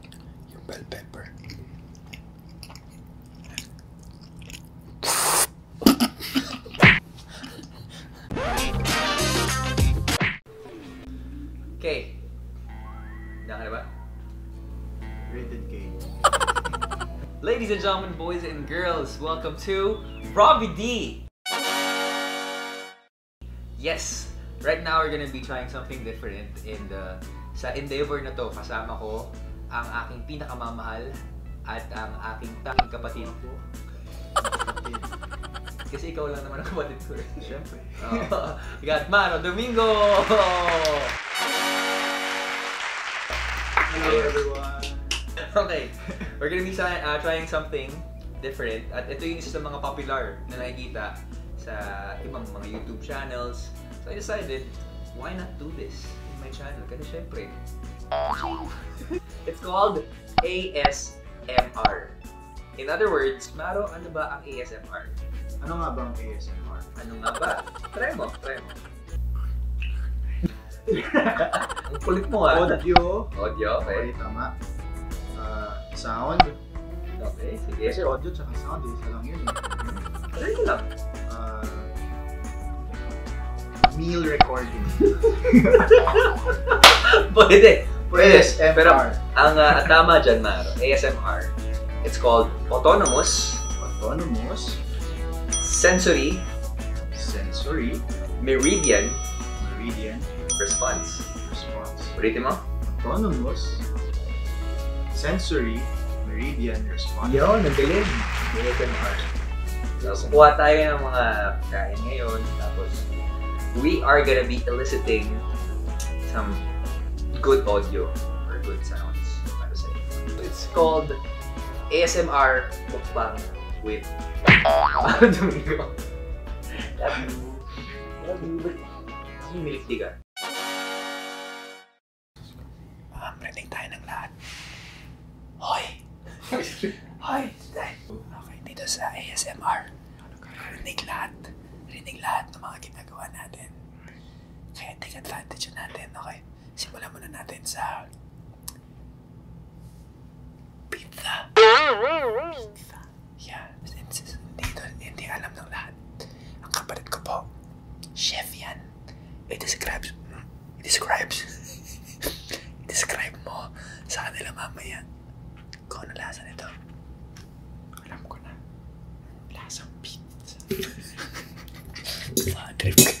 your bell pepper. K. Dah Rated K. Ladies and gentlemen, boys and girls, welcome to Robbie D. Yes, right now we're gonna be trying something different in the sa endeavor na to kasama ko ang aking pinakamamahal at ang aking tanging kapatid. Kasi ikaw lang naman ang kapatid ko. Siyempre. Oh, got Mano Domingo! Hello everyone! Okay, we're gonna be uh, trying something different. At ito yung isa sa mga popular na nakikita sa sa ibang mga YouTube channels. So I decided, why not do this in my channel? Kasi syempre, it's called ASMR. In other words, Maro, ano ba ang ASMR? Ano nga ba ang ASMR? Ano nga ba? try mo, try mo. ang kulit mo ah. Audio. Audio, okay. Okay, tama. Uh, sound. meal recording. Pwede. Pwede. ASMR. ang uh, tama Maro, ASMR, it's called autonomous. Autonomous. Sensory. Sensory. Meridian. Meridian. Response. Response. Ulitin mo? autonomous, sensory, meridian response. Yun, we are gonna be eliciting some good audio or good sounds para sa inyo. It's called ASMR Mukbang with Mamrinig tayo ng lahat. Hoy! Hoy! Okay, dito sa ASMR. Rinig lahat. Rinig lahat ng mga ginagawa natin. Kaya take advantage natin, okay? Simulan muna natin sa pizza. Pizza. Yeah, dito hindi alam ng lahat. Ang kapalit ko po, chef yan. It describes, it describes, it describe mo sa kanila mamaya kung ano lasa nito. Alam ko na, lasang pizza. Sa trip. Okay.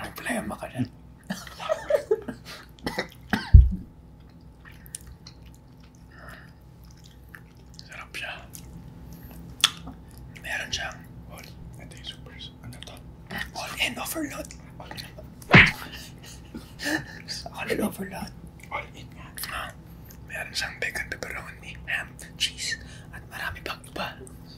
I'm playing Mahjong. Sarap siya. Meron siyang all, ito yung supers, ano to? All in overload. All in. all in overload. All in nga. Uh, meron siyang bacon, pepperoni, ham, cheese, at marami pang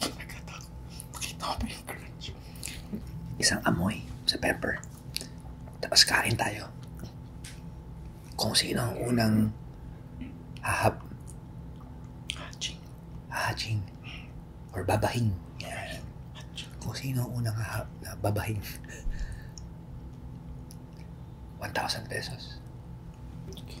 Nakita ko. Nakita ko yung crunch. Isang amoy sa pepper. Tapos kain tayo. Kung sino ang unang hahab. Haching. Haching. Or babahing. Yan. Kung sino ang unang hahab na babahing. 1,000 pesos. Okay.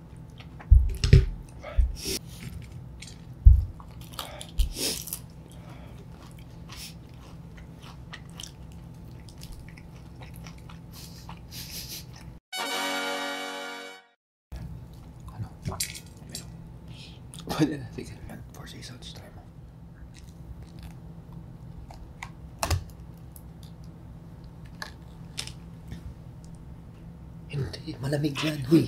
Pwede na, sige. Four seasons, try mo. Hindi, malamig yan, huy.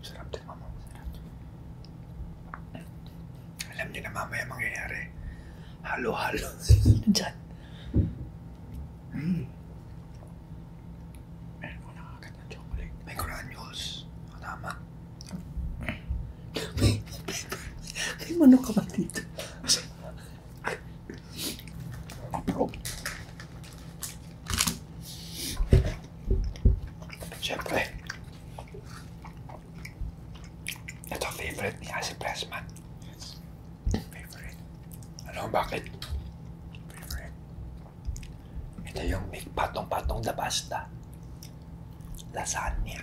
Sarap din mama. Sarap. Alam niyo na mamaya mangyayari. Halo-halo. Diyan. Mm. Meron ko nakakagat ng chocolate. May granules. O tama. may, may manok ka ba dito? Ay, bro. Siyempre, ito favorite niya si Pressman. Favorite. Ano bakit? Favorite. Ito yung big patong-patong na pasta. Lasagna.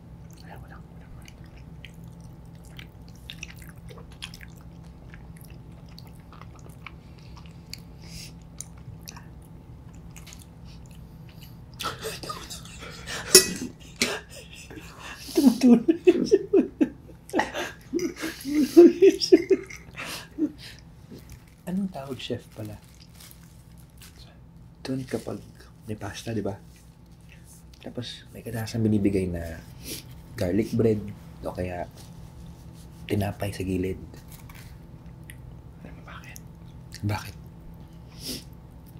Ay, wala. Wala. Tumutulog na siya. Tumutulog siya. Anong tawag chef pala? Doon kapag may pasta, di ba? Tapos, may kadasang binibigay na garlic bread o kaya tinapay sa gilid. Alam mo bakit? Bakit?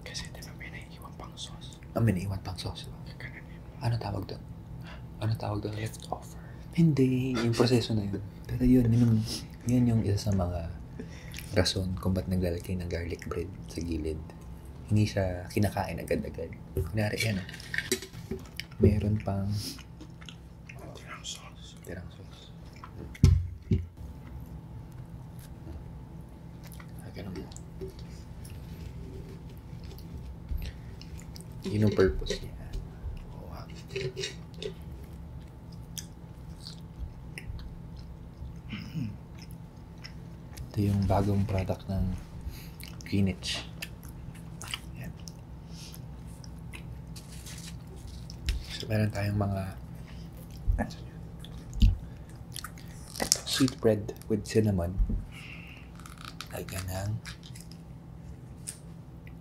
Kasi di ba may naiiwan pang sauce? Ah, may naiiwan pang sauce. Ano tawag doon? Ano tawag doon? Leftover. Hindi. Yung proseso na yun. Pero yun, yun, yung, yun yung isa sa mga rason kung ba't naglalagay ng garlic bread sa gilid hindi siya kinakain agad-agad. Kunyari, yan. Ah. Meron pang tirang sauce. Tirang sauce. Lagyan mo. Yun ang purpose niya. Oh, wow. Mm-hmm ito yung bagong product ng Greenwich Ayan. so meron tayong mga sweet bread with cinnamon lagyan ng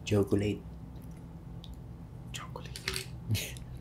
chocolate chocolate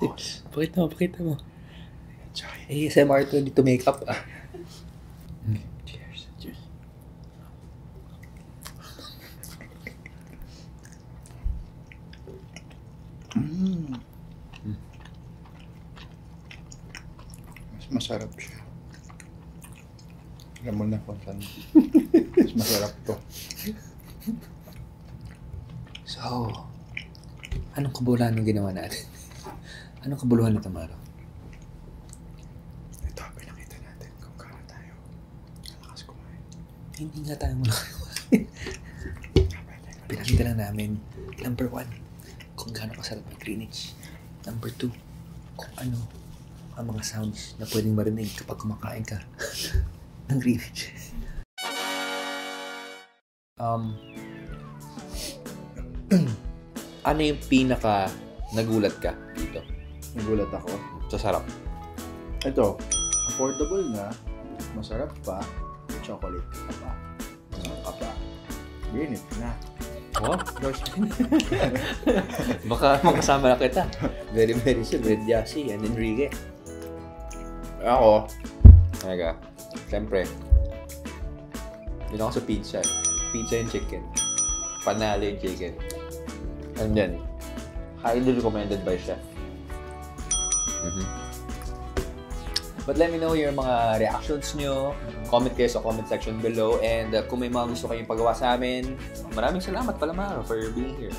Focus. pakita mo, pakita mo. Enjoy. ASMR to, dito makeup ah. Cheers. Cheers. Mm. Mas masarap siya. Alam mo na kung saan. Mas masarap to. So, anong kabuluhan ng ginawa natin? anong kabuluhan nito, Maro? Ito, pinakita natin kung kano tayo malakas kumain. Hindi nga tayo malakas kumain. pinakita lang namin, number one, kung gaano kasarap ang Greenwich. Number two, kung ano ang mga sounds na pwedeng marinig kapag kumakain ka. ng Greenwich. Um, ano yung pinaka nagulat ka dito? Nagulat ako? Sa sarap. Ito, affordable na, masarap pa, chocolate ka pa, masarap ka pa, green na. Oh, endorsement. Baka makasama na kita. Very, very soon with Yassi and Enrique. Ako, talaga, siyempre, yun ako sa pizza. Eh. Pizza and chicken. Panalo yung chicken. And then, highly recommended by chef. Mm-hmm. But let me know your mga reactions nyo. Mm-hmm. Comment kayo sa comment section below. And uh, kung may mga gusto kayong pagawa sa amin, maraming salamat pala Maro for being here.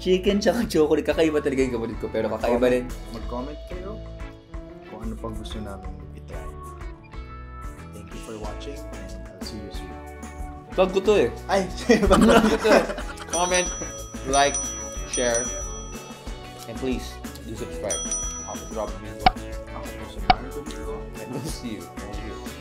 Chicken tsaka chocolate. Kakaiba talaga yung kapatid ko. Pero kakaiba rin. Mag-comment kayo kung ano pang gusto namin Thank you for watching and I'll see you soon. Plug ko to eh. Ay, ko to eh. Comment, like, share, and please do subscribe. drop me. Ako po And we'll see you. you.